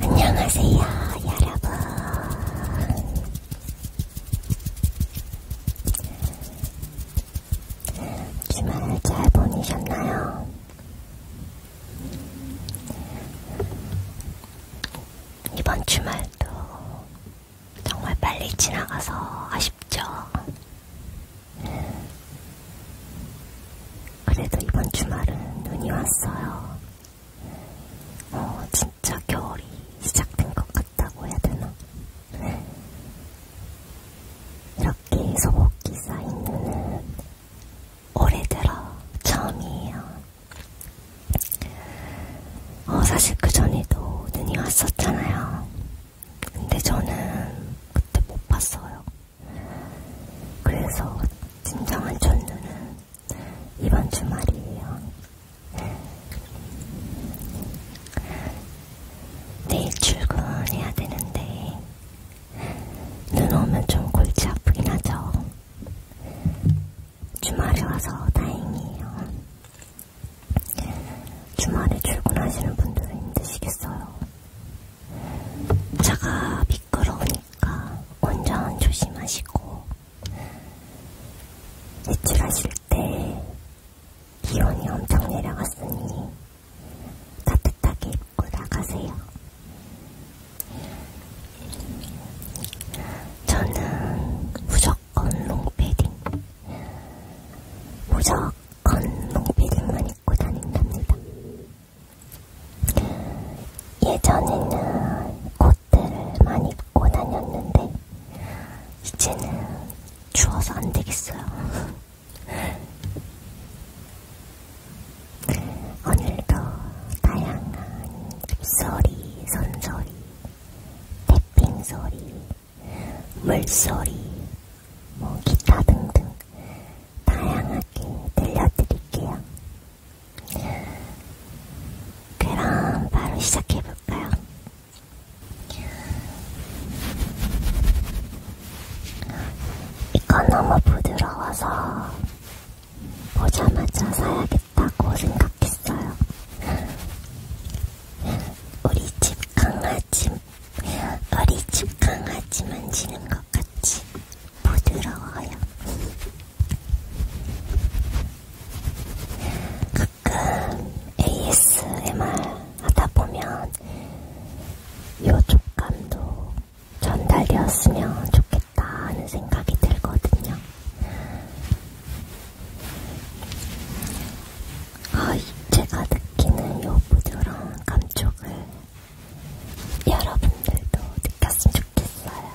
안녕하세요, 여러분. 주말을 잘 보내셨나요? 이번 주말도 정말 빨리 지나가서 아쉽죠? 그래도 이번 주말은 눈이 왔어요. 어, 진짜 겨울이 시작된 것 같다고 해야 되나? 이렇게 소복기 쌓인 눈은 올해 들어 처음이에요. 어, 사실 그 전에도 눈이 왔었잖아요. 근데 저는 그때 못 봤어요. 그래서 진정한 첫눈은 이번 주말이에요. 내일 출근해야 되는데 눈 오면 좀 골치 아프긴 하죠. 주말에 와서 다행이에요. 주말에 출근하시는 분들은 힘드시겠어요. 차가 미끄러우니까 운전 조심하시고 외출하실 때 기온이 엄청 내려갔으니 따뜻하게 입고 나가세요. 저는 무조건 롱패딩, 무조건 롱패딩만 입고 다닌답니다. 예전에는 코트를 많이 입고 다녔는데 이제는 추워서 안 되겠어요. 오늘도 다양한 입소리, 손소리, 태핑 소리, 물소리, 뭐 기타 등등 다양하게 들려드릴게요. 그럼 바로 시작해볼까요? 이건 너무 부드러워서 보자마자 사야겠다고 생각했어요. 우리 집 강아지 어리집 강아지 만지는 것 같이 부드러워요. 가끔 ASMR 하다 보면 요 촉감도 전달되었으면 좋겠다 하는 생각이 들거든요. 아, 제가 느끼는 요 부드러운 감촉을 여러분들도 느꼈으면 좋겠어요.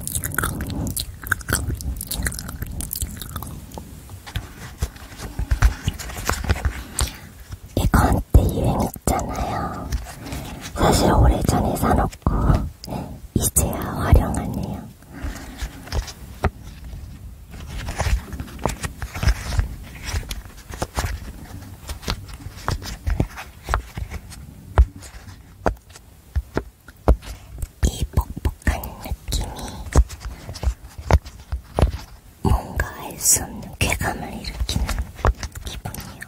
이거 한때 유행했잖아요. 사실 오래전에 사놓고 이제야 활용하네요. 이 뻑뻑한 느낌이 뭔가 알수 없는 쾌감을 일으키는 기분이요.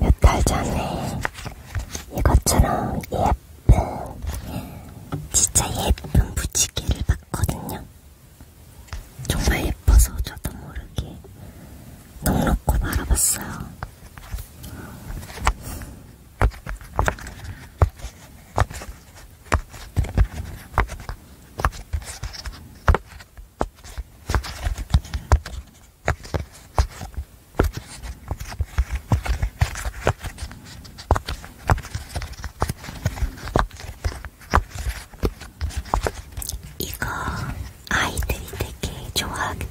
몇달 전에 이것처럼 예쁜, 진짜 예쁜 부치개를 봤거든요. 정말 예뻐서 저도 모르게 넉넉고 바라봤어요. 이거 아이들이 되게 좋아하겠다.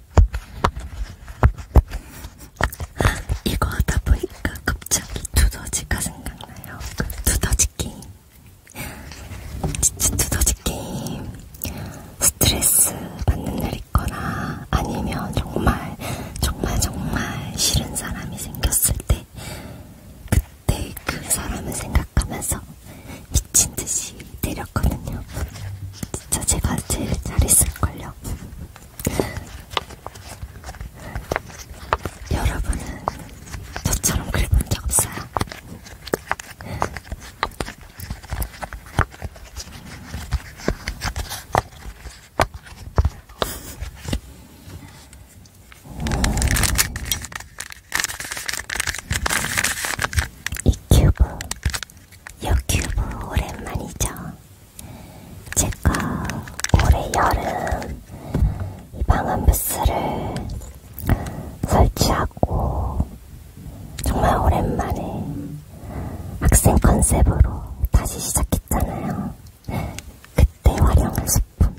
이거 하다 보니까 갑자기 두더지가 생각나요. 그 두더지 게임. 진짜 두더지 게임. 스트레스 받는 날 있거나 아니면 정말, 정말, 정말 싫은 사람이 생겼을 때 그때 그 사람을 생각하면서 미친 듯이 때렸거든요. 진짜 제가 제일 잘했을걸요. 여러분은 저처럼 그려본 적 없어요? 이 큐브, 요 큐브 오랜만이죠? 제가 올해 여름 이 방음 부스를 설치하고 정말 오랜만에 학생 컨셉으로 다시 시작했잖아요. 그때 활용한 소품.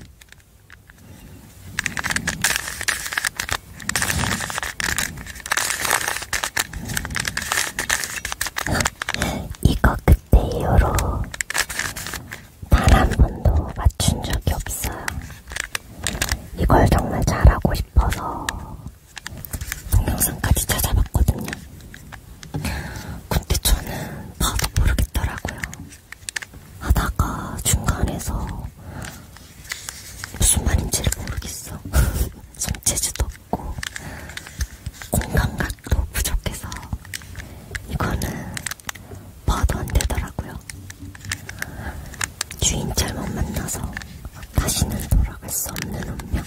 이거 그때 이후로 단 한 번도 맞춘 적이 없어요. 이걸 정말 잘하고 싶어서 동영상까지 찾아봤거든요. 근데 저는 봐도 모르겠더라고요. 하다가 중간에서 무슨 말인지를 모르겠어. 손재주도 없고 공간각도 부족해서 이거는 봐도 안 되더라고요. 주인 잘못 만나서 다시는 돌아갈 수 없는 운명.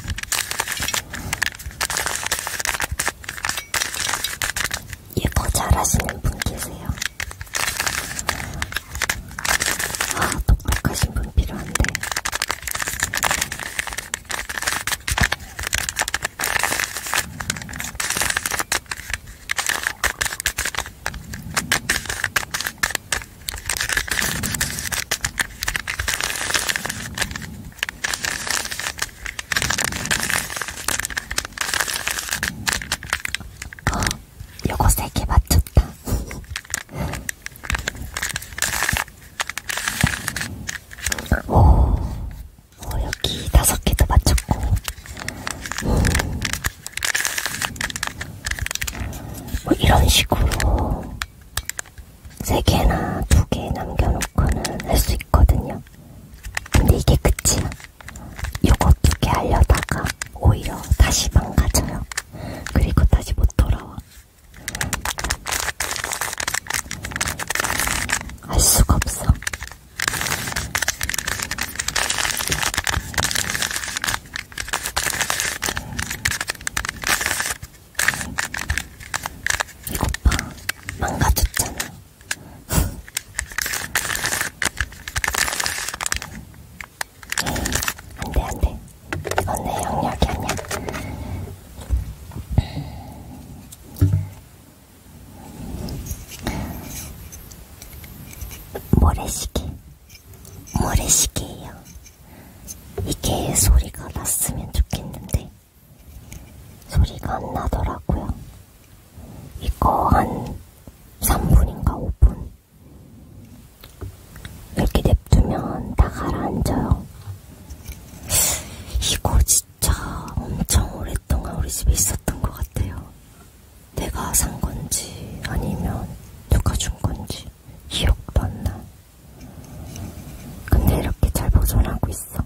이거 예, 잘하시는 분 계세요. 아, 똑똑하신 분 필요한데 어, 요거 세개 맞췄다. 오, 어, 오 여기 다섯 개도 맞췄고 뭐 이런 식으로 세 개나 두 개 남겨놓고는 할 수 있거든요. 근데 이게 끝이야. 요거 두 개 하려다가 오히려 다시 망가져요. 그리고 다시 못 돌아와. 알 수가 없어. 이것 봐, 망가졌잖아. 안돼 안돼. 언니 아, 네, 영역이 아니야. 모래시계. 모래시계예요. 이게 소리가 났으면 좋겠는데 소리가 안 나더라고요. 이거 한 3분인가 5분 이렇게 냅두면 다 가라앉아요. 이거 진짜 엄청 오랫동안 우리 집에 있었던 것 같아요. 내가 산 건지 아니면 누가 준 건지 기억도 안 나. 근데 이렇게 잘 보존하고 있어.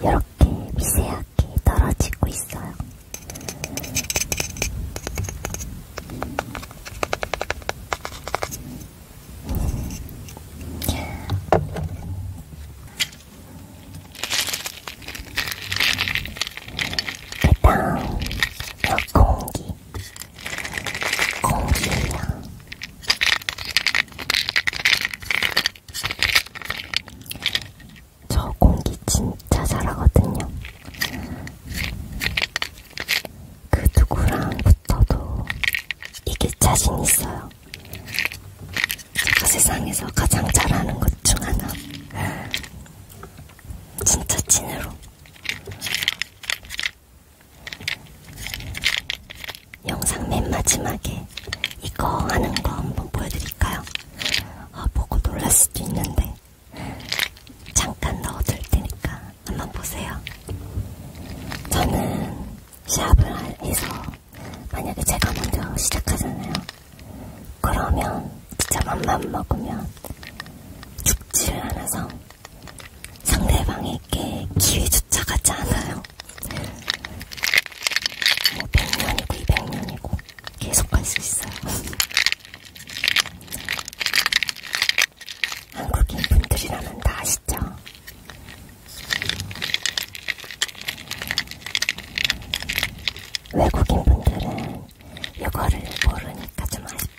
이렇게 미세하게 떨어지고 있어요. 그 다음, 공기. 공기예요. 저 공기 진짜 잘하거든요. 그 누구랑 붙어도 이길 자신 있어요. 제가 세상에서 가장 잘하는 것 중 하나. 진짜 찐으로. 영상 맨 마지막에 이거 하는 거 한번 보여드릴까요? 아, 보고 놀랄 수도 있는데 잠깐 넣어둘 테니까 한번 보세요. 저는 샵을 해서 만약에 제가 먼저 시작하잖아요. 그러면 진짜 맘만 먹으면 죽지를 않아서 상대방에게 기회조차 가지 않아요. 뭐 100년이고 200년이고 계속 갈수 있어요. 한국인 분들이라면 다 아시죠? 외국인 분들은 이거를 모르니까 좀 아쉽다.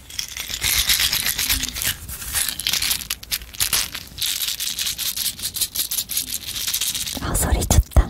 아 소리 좋다.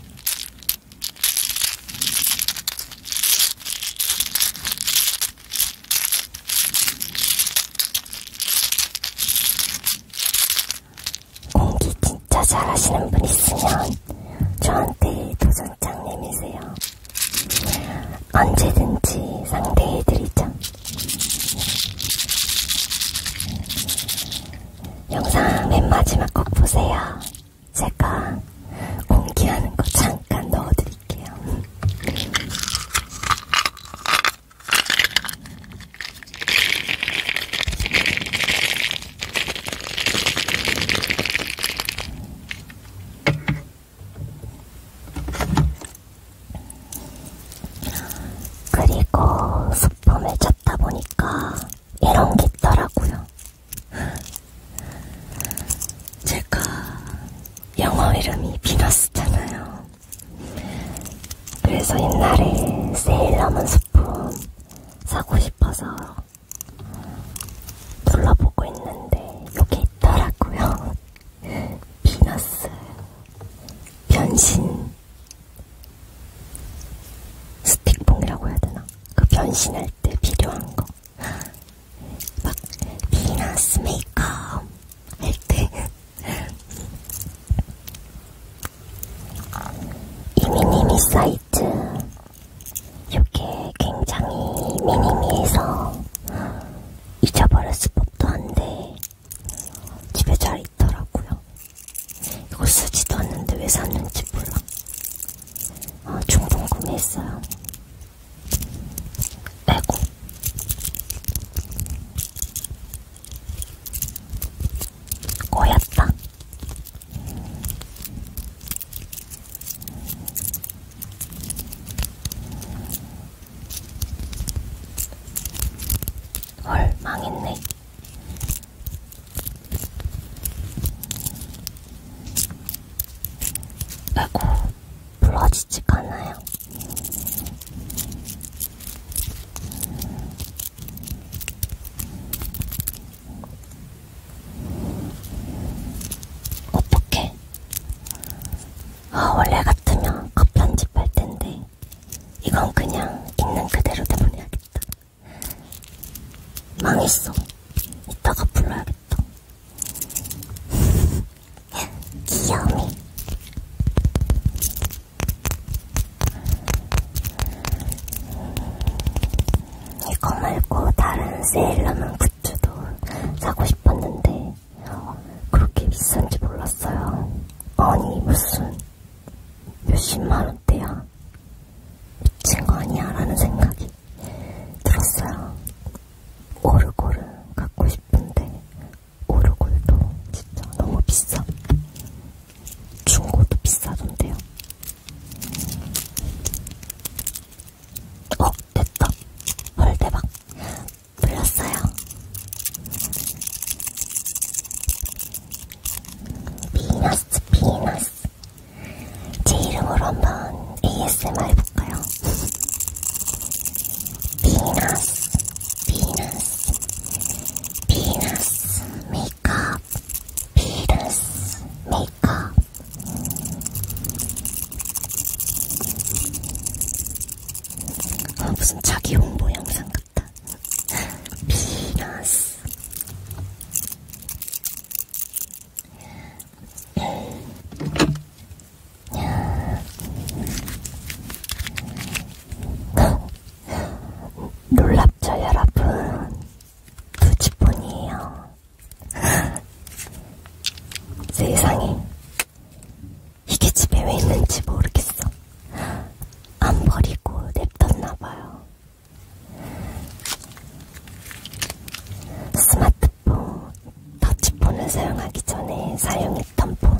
연기 어, 진짜 잘하시는 분 있으면 저한테 도전장 내미세요. 언제든지 상대해드리죠. 영상 맨 마지막 꼭 보세요. 제가 공기하는 거 잠깐 넣어드릴게요. 그리고 수품을 첫 걷다 보니까 이런 게 있더라고요. 제가 영어 이름이 비너스잖아요. 그래서 옛날에 세일러문 스푼 사고 싶어서 둘러보고 있는데 여기 있더라고요. 비너스 변신 스틱봉이라고 해야 되나? 그 변신할 때 필요한 거. 막 비너스 메이크업 할 때. 이미니미 사이트. 요게 굉장히 미니미해서 잊어버렸을 법도 한데 집에 잘 있더라고요. 이거 쓰지도 않는데 왜 샀는지 몰라. 아, 충분 구매했어요. 레고. 꼬였다. 헐, 망했네. 라고 불러지지가 않아요. 어떻게? 아, 원래 같으면 컷 편집할 텐데, 이건 그냥 있는 그대로 내보내야겠다. 망했어. 이따가 불러야겠다. 귀여움이. 이거 말고 다른 세일러문 굿즈도 사고 싶었는데 그렇게 비싼지 몰랐어요. 아니 무슨... 몇십만 원대야. 미친 거 아니야? 라는 생각이 들었어요. 오르골을 갖고 싶은데 오르골도 진짜 너무 비싸. 중고도 비싸던데요. 어, 됐다. 헐, 대박. 불렸어요. 비너스 비너스 제 이름으로 한번 ASMR 해볼까요? 비너스 비너스 비너스 메이크업 비너스 메이크업 아, 무슨 자기 홍보 영상 같다. 비너스 네. 놀랍죠 여러분 두지폰이에요 세상에 이게 집에 왜 있는지 모르겠어 안 버리고 냅뒀나봐요 스마트폰, 터치폰을 사용하기 전에 사용했던 폰.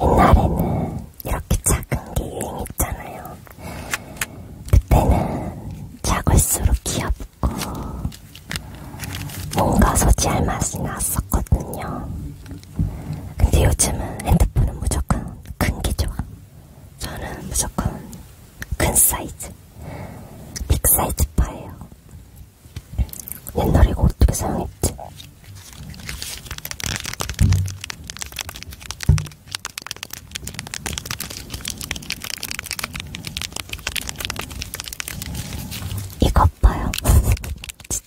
옛날에는 이렇게 작은 게 유행했잖아요. 그때는 작을수록 귀엽고 뭔가 소지할 맛이 났었거든요. 근데 요즘은 핸드폰은 무조건 큰게 좋아. 저는 무조건 큰 사이즈, 빅 사이즈 파예요. 옛날에 이거 어떻게 사용했지? 이것 봐요. 진짜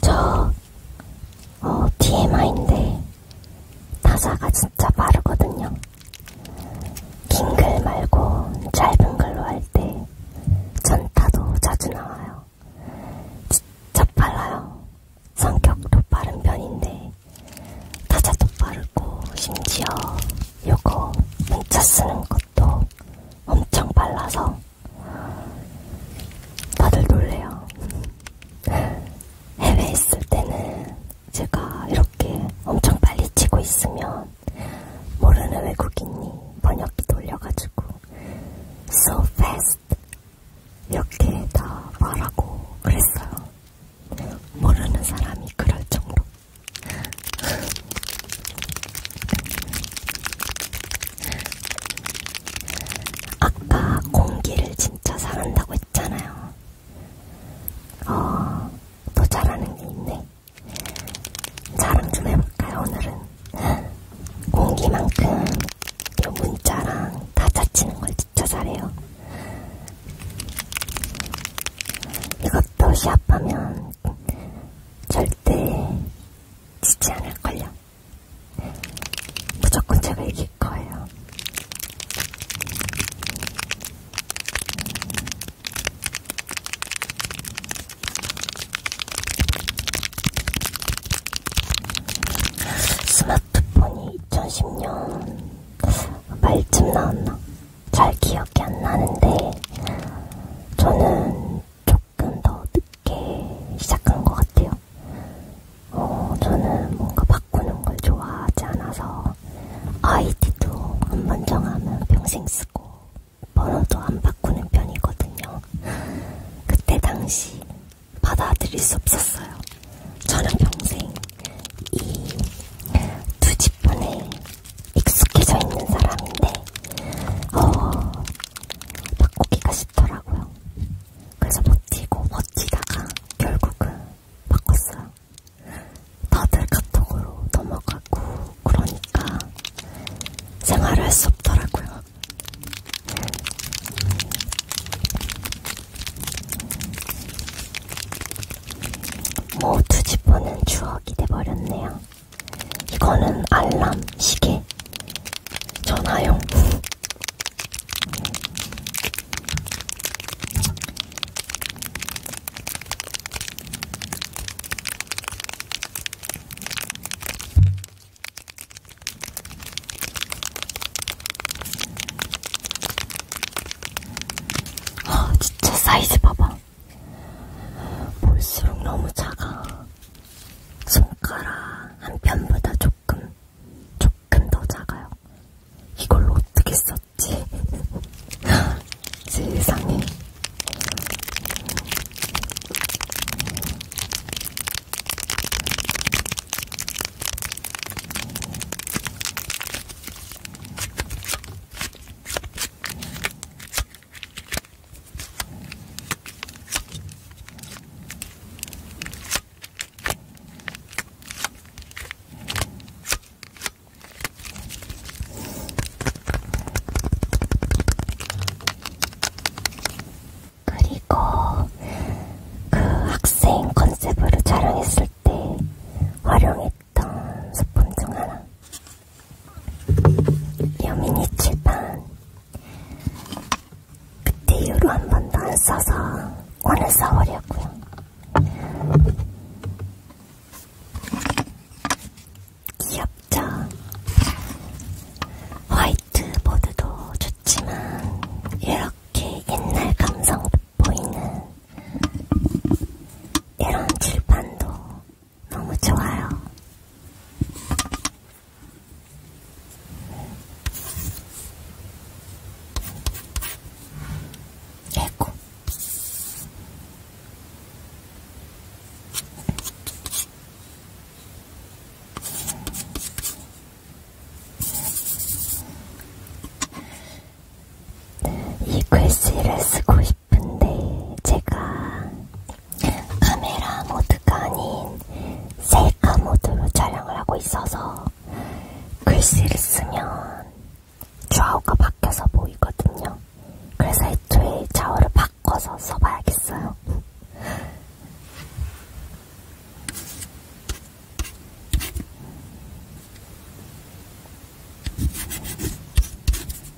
저, 어, TMI인데, 타사가 진짜 빠르거든요. 긴 글 말고 짧은 글로 할 때, 전타도 자주 나와요. 진짜 빨라요. 성격도 빠른 편인데, 타자도 빠르고, 심지어 요거 문자 쓰는 것 것도 엄청 빨라서 다들 놀래요. 해외에 있을 때는 제가 이렇게 엄청 빨리 치고 있으면 모르는 외국인이 번역기 돌려가지고 so fast 이렇게 다 말하고 그랬어요. 모르는 사람이 그럴 정도. 아까 공기를 진짜 잘한다고 했잖아요. 어, 더 잘하는 게 있네. 자랑 좀 해볼까요, 오늘은? 공기만큼 요 문자랑 다 짜치는 걸 진짜 잘해요. 이것도 시합하면 절대 지지 않을걸요. 무조건 제가 이길 거예요. 스마트폰이 2010년 말쯤 나왔나? 잘 기억이 안 나는데 저는 조금 더 늦게 시작한 것 같아요. 어, 저는 뭔가 바꾸는 걸 좋아하지 않아서 아이디도 한 번 정하면 평생 쓰고 번호도 안 바꾸는 편이거든요. 그때 당시 받아들일 수 없었어요. 저는 평생 이 두집분의 익숙해져 있는 사람인데 어, 바꾸기가 쉽더라고요. 그래서 버티고 버티다가 결국은 바꿨어요. 다들 카톡으로 넘어가고 그러니까 생활을 할 수 없더라고요. 뭐 두집보는 추억이 돼버렸네요. 이거는 알람 시계 전화용. 아, 진짜 사이즈 봐봐. 볼수록 너무 작아. 손가락 한 편보다 조금, 조금 더 작아요. 이걸로 어떻게 썼지? 세상에. 그리고 그 학생 컨셉으로 촬영했을 때 활용했던 소품 중 하나. 여민이 칠판 그때 이후로 한 번도 안 써서 오늘 써버렸고요. 귀엽죠? 화이트보드도 좋지만 이렇게 옛날 감성 보이는 이런 칠판도 너무 좋아요. 예고. 이 글씨를 쓰고 싶은데 제가 카메라 모드가 아닌 셀카 모드로 촬영을 하고 있어서 글씨를 쓰면 좌우가 바뀌어서 보이거든요. 그래서 애초에 좌우를 바꿔서 써봐야겠어요.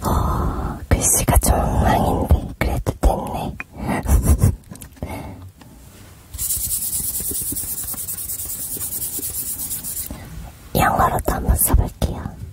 어, 글씨가 정망인데 그래도 됐네. 영어로도 한번 써볼게요.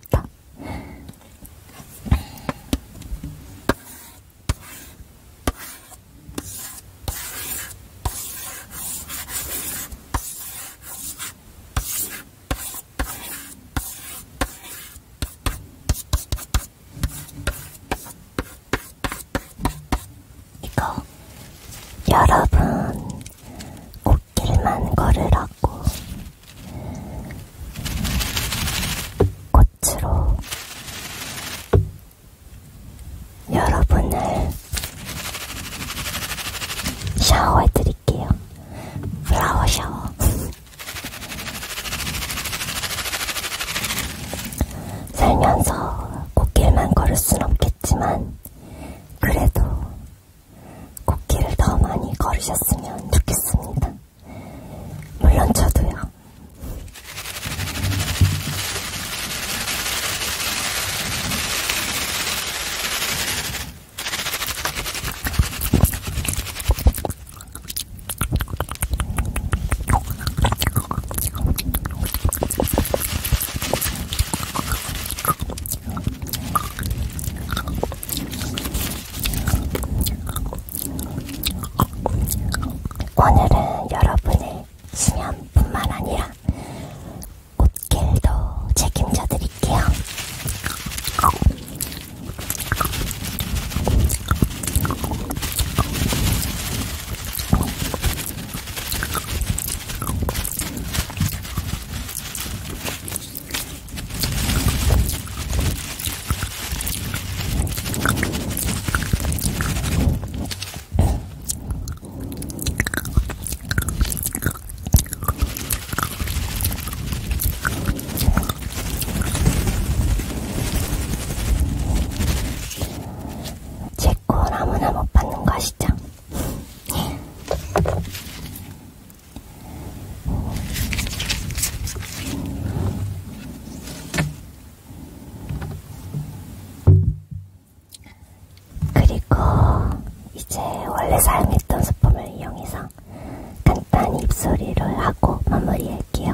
귀엽다. 이거 여러분, 코끼리만 걸으라고 꽃으로 여러분을 샤워해 드릴게요. 플라워 샤워. 살면서 꽃길만 걸을 순 없겠지만, 그래도 꽃길을 더 많이 걸으셨으면 좋겠습니다. 물론 저도요. 오늘은 여러분의 수면뿐만 아니라 옷길도 책임져 드릴게요. 제코 아무나 못 받는 거 아시죠? 그리고 이제 원래 사용했던 소품을 이용해서 간단히 입소리를 하고 마무리할게요.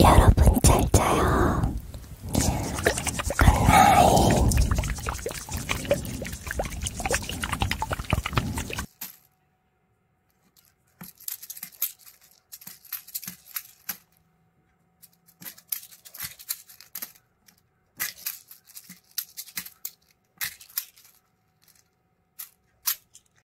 여러분 잘 자요.